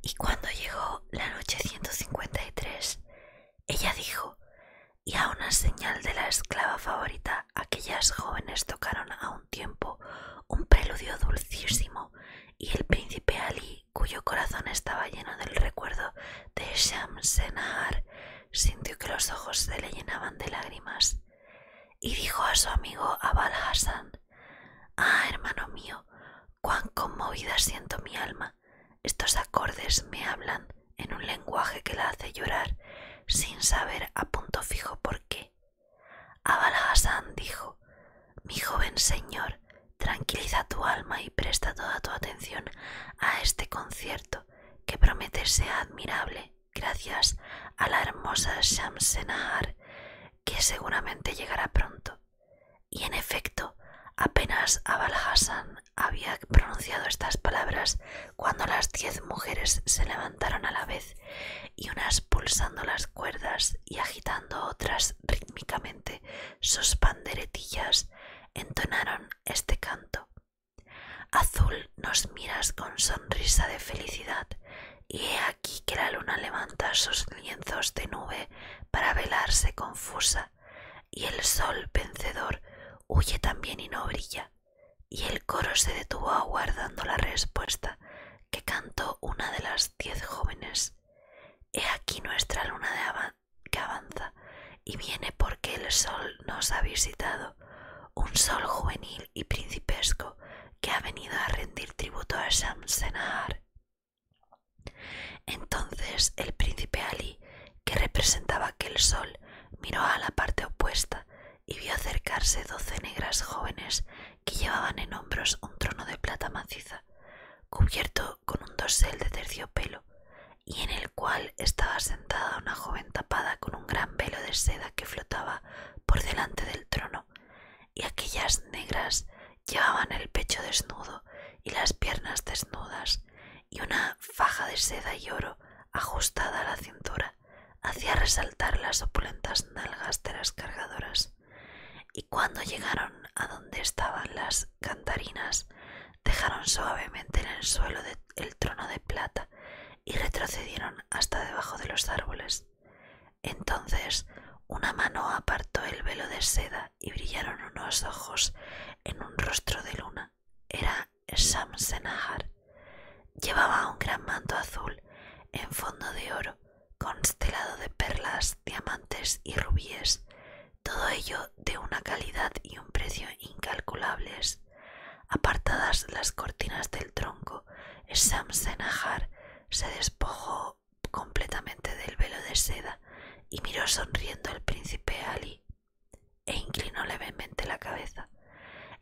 Y cuando llegó la noche 153, ella dijo, y a una señal de la esclava favorita, aquellas jóvenes tocaron a un tiempo un preludio dulcísimo, y el príncipe Ali cuyo corazón estaba lleno del recuerdo de Shamsenahar, sintió que los ojos se le llenaban de lágrimas y dijo a su amigo Abal Hassan: Ah, hermano mío, cuán conmovida siento mi alma. Estos acordes me hablan en un lenguaje que la hace llorar sin saber a punto fijo por qué. Abal Hassan dijo: Mi joven señor, Tranquiliza tu alma y presta toda tu atención a este concierto que promete ser admirable gracias a la hermosa Shamsenahar que seguramente llegará pronto. Y en efecto, apenas Abal había pronunciado estas palabras cuando las diez mujeres se levantaron a la vez y unas pulsando las cuerdas y agitando otras rítmicamente sus panderetillas entonaron este canto. Azul nos miras con sonrisa de felicidad, y he aquí que la luna levanta sus lienzos de nube para velarse confusa, y el sol vencedor huye también y no brilla, y el coro se detuvo aguardando la respuesta que cantó una de las diez jóvenes He aquí nuestra luna que avanza y viene porque el sol nos ha visitado, un sol juvenil y principesco que ha venido a rendir tributo a Shamsenahar. Entonces el príncipe Ali, que representaba aquel sol, miró a la parte opuesta y vio acercarse doce negras jóvenes que llevaban en hombros un trono de plata maciza, cubierto con un dosel de terciopelo y en el cual estaba sentada una joven tapada con un gran velo de seda que flotaba por delante del trono, y aquellas negras llevaban el pecho desnudo y las piernas desnudas, y una faja de seda y oro ajustada a la cintura hacía resaltar las opulentas nalgas de las cargadoras y cuando llegaron a donde estaban las cantarinas, dejaron suavemente en el suelo el trono de plata y retrocedieron hasta debajo de los árboles. Entonces una mano apartó el velo de seda y brillaron unos ojos en un rostro de luna. Era Samsenahar. Llevaba un gran manto azul en fondo de oro constelado de perlas, diamantes y rubíes, todo ello de una calidad y un precio incalculables. Apartadas las cortinas del tronco, Senajar se despojó completamente del velo de seda y miró sonriendo al príncipe Ali e inclinó levemente la cabeza.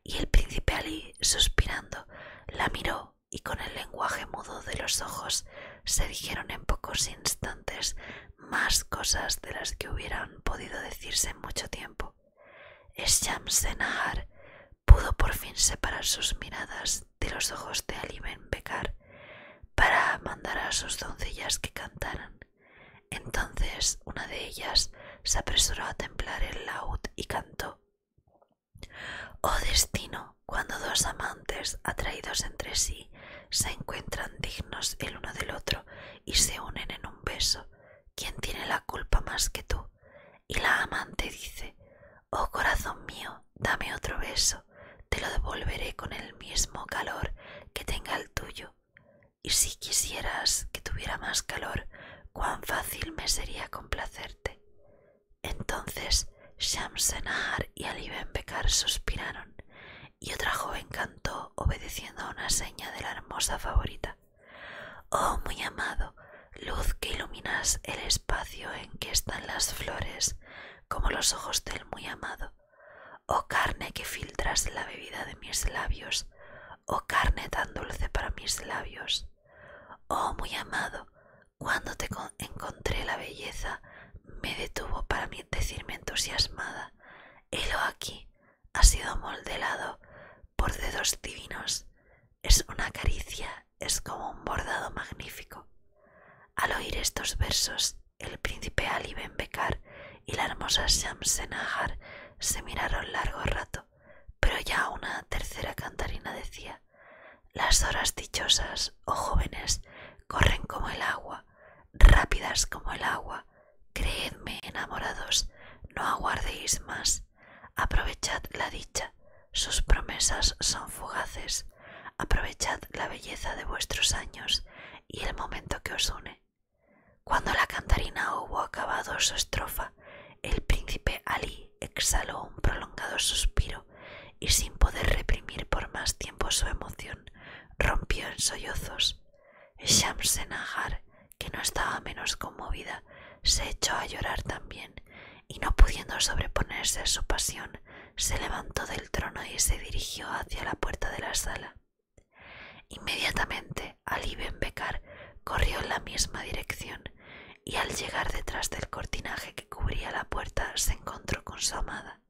Y el príncipe Ali, suspirando, la miró y con el lenguaje mudo de los ojos se dijeron en pocos instantes más cosas de las que hubieran podido decirse en mucho tiempo. Shams-e-Nahar pudo por fin separar sus miradas de los ojos de Ali Ben Bekar para mandar a sus doncellas que cantaran. Entonces una de ellas se apresuró a templar el laúd y cantó. Oh destino, cuando dos amantes atraídos entre sí se encuentran dignos el uno del otro y se unen en un beso, ¿quién tiene la culpa más que tú? Y la amante dice, Oh corazón mío, dame otro beso, te lo devolveré con el mismo calor que tenga el tuyo. Y si quisieras que tuviera más calor, cuán fácil me sería complacerte. Entonces Shamsenahar y Ali Ben Bekar suspiraron y otra joven cantó obedeciendo a una seña de la hermosa favorita. Oh, muy amado, luz que iluminas el espacio en que están las flores, como los ojos del muy amado. Oh carne que filtras la bebida de mis labios, oh carne tan dulce para mis labios. Oh muy amado, cuando te encontré la belleza, me detuvo para mí decirme entusiasmada, helo aquí, ha sido moldelado por dedos divinos, es una caricia, es como un bordado magnífico. Al oír estos versos, el príncipe Ali Ben Bekar y la hermosa Shamsenahar se miraron largo rato pero ya una tercera cantarina decía Las horas dichosas, oh jóvenes, corren como el agua, rápidas como el agua. Creedme, enamorados, no aguardéis más. Aprovechad la dicha, sus promesas son fugaces. Aprovechad la belleza de vuestros años y el momento que os une. Cuando la cantarina hubo acabado su estrofa, el príncipe Alí exhaló un prolongado suspiro y sin poder reprimir por más tiempo su emoción, rompió en sollozos. Shamsenahar, que no estaba menos conmovida, se echó a llorar también y no pudiendo sobreponerse a su pasión, se levantó del trono y se dirigió hacia la puerta de la sala. Inmediatamente, Ali Ben Bekar corrió en la misma dirección y al llegar detrás del cortinaje que cubría la puerta se encontró con su amada.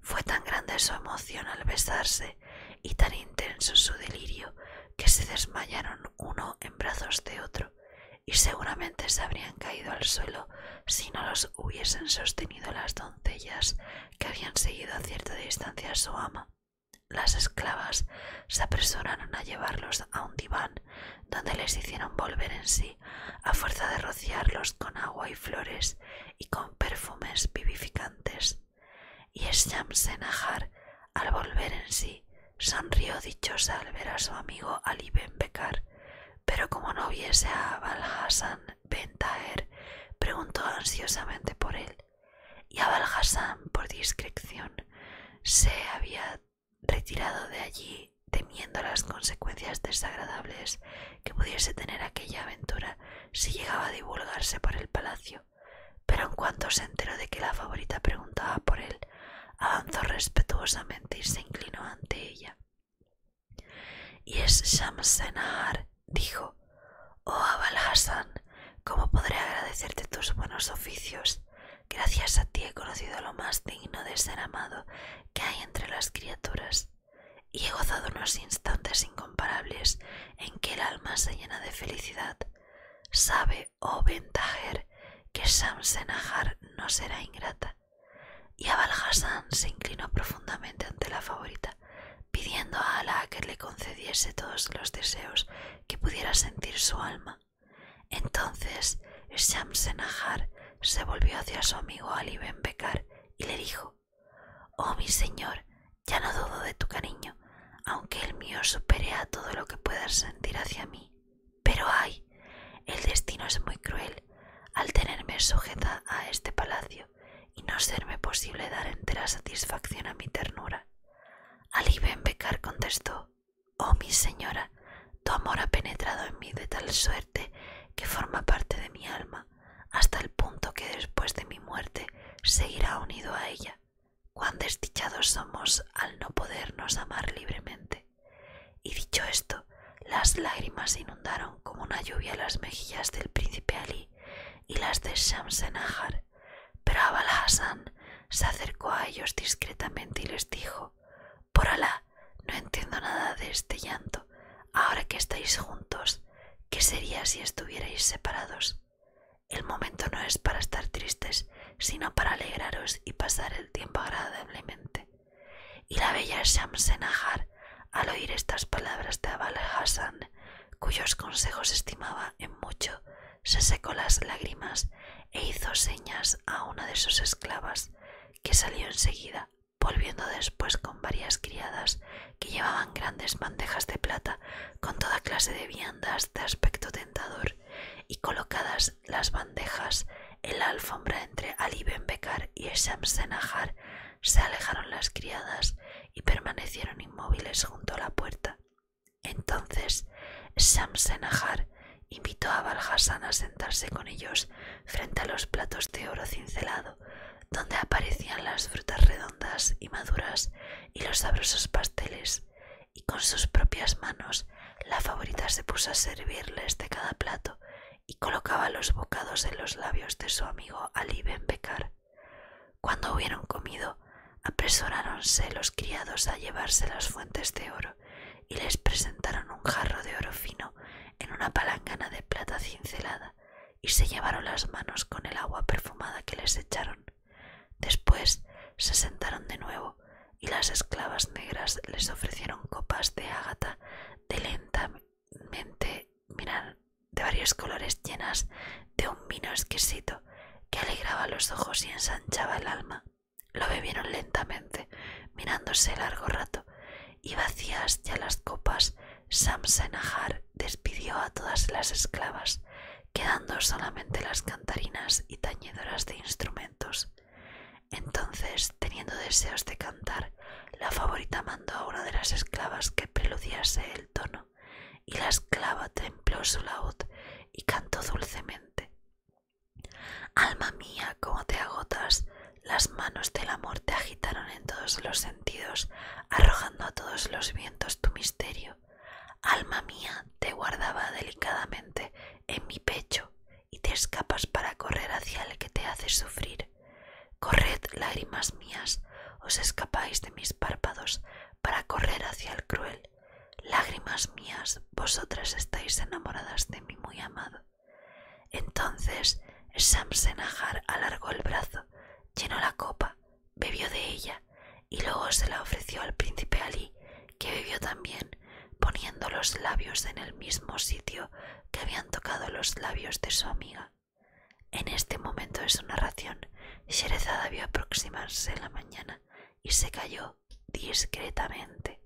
Fue tan grande su emoción al besarse y tan intenso su delirio que se desmayaron uno en brazos de otro y seguramente se habrían caído al suelo si no los hubiesen sostenido las doncellas que habían seguido a cierta distancia a su ama. Las esclavas se apresuraron a llevarlos a un diván donde les hicieron volver en sí a fuerza de rociarlos con agua y flores y con perfumes vivificantes. Y Shamsenahar, al volver en sí, sonrió dichosa al ver a su amigo Ali Ben Bekar, pero como no viese a Valhasan Ben Taher, preguntó ansiosamente por él y Abalhassan, por discreción, se había retirado de allí temiendo las consecuencias desagradables que pudiese tener aquella aventura si llegaba a divulgarse por el palacio, pero en cuanto se enteró de que la favorita preguntaba por él, avanzó respetuosamente y se inclinó ante ella. Y es Shamsenahar, dijo, oh ¿Cómo podré agradecerte tus buenos oficios? Gracias a ti he conocido lo más digno de ser amado que hay entre las criaturas y he gozado unos instantes incomparables en que el alma se llena de felicidad. Sabe, oh ventajer, que Senajar no será ingrata. Y Abal Hassan se inclinó profundamente ante la favorita, pidiendo a Alá que le concediese todos los deseos que pudiera sentir su alma. Entonces Ahar se volvió hacia su amigo Ali Ben Bekar y le dijo: Oh mi señor, ya no dudo de tu cariño, aunque el mío supere a todo lo que puedas sentir hacia mí. Pero ay, el destino es muy cruel al tenerme sujeta a este palacio y no serme posible dar entera satisfacción a mi ternura. Ali Ben Bekar contestó Oh mi señora, tu amor ha penetrado en mí de tal suerte que forma parte de mi alma, hasta el punto que después de mi muerte seguirá unido a ella. Cuán desdichados somos al no podernos amar libremente. Y dicho esto, las lágrimas inundaron como una lluvia las mejillas del príncipe Ali y las de pero Abal Hassan se acercó a ellos discretamente y les dijo: Por Alá, no entiendo nada de este llanto. Ahora que estáis juntos, ¿qué sería si estuvierais separados? El momento no es para estar tristes, sino para alegraros y pasar el tiempo agradablemente. Y la bella Shamsenahar, al oír estas palabras de Abal Hassan, cuyos consejos estimaba en mucho, se secó las lágrimas e hizo señas a una de sus esclavas, que salió enseguida, volviendo después con varias criadas que llevaban grandes bandejas de plata con toda clase de viandas de aspecto tentador, y colocadas las bandejas en la alfombra entre Ali Ben Bekar y Esham se alejaron las criadas permanecieron inmóviles junto a la puerta. Entonces Samsenahar invitó a Balhassan a sentarse con ellos frente a los platos de oro cincelado, donde aparecían las frutas redondas y maduras y los sabrosos pasteles, y con sus propias manos la favorita se puso a servirles de cada plato y colocaba los bocados en los labios de su amigo Ali Ben Bekar. Cuando hubieron comido, apresuráronse los criados a llevarse las fuentes de oro y les presentaron un jarro de oro fino en una palangana de plata cincelada y se llevaron las manos con el agua perfumada que les echaron. Después se sentaron de nuevo y las esclavas negras les ofrecieron copas de ágata lentamente mirar de varios colores llenas de un vino exquisito que alegraba los ojos y ensanchaba el alma. Lo bebieron lentamente, mirándose largo rato, y vacías ya las copas, Sam despidió a todas las esclavas, quedando solamente las cantarinas y tañedoras de instrumentos. Entonces, teniendo deseos de cantar, la favorita mandó a una de las esclavas que preludiase el tono, y la esclava templó su laúd y cantó dulcemente. Alma mía, cómo te agotas, las manos del amor te agitaron en todos los sentidos, arrojando a todos los vientos tu misterio. Alma mía, te guardaba delicadamente en mi pecho y te escapas para correr hacia el que te hace sufrir. Corred, lágrimas mías, os escapáis de mis párpados para correr hacia el cruel. Lágrimas mías, vosotras estáis enamoradas de mi muy amado. Entonces Senajar alargó el brazo, llenó la copa, bebió de ella y luego se la ofreció al príncipe Ali, que bebió también, poniendo los labios en el mismo sitio que habían tocado los labios de su amiga. En este momento de su narración, Sherezada vio aproximarse la mañana y se cayó discretamente.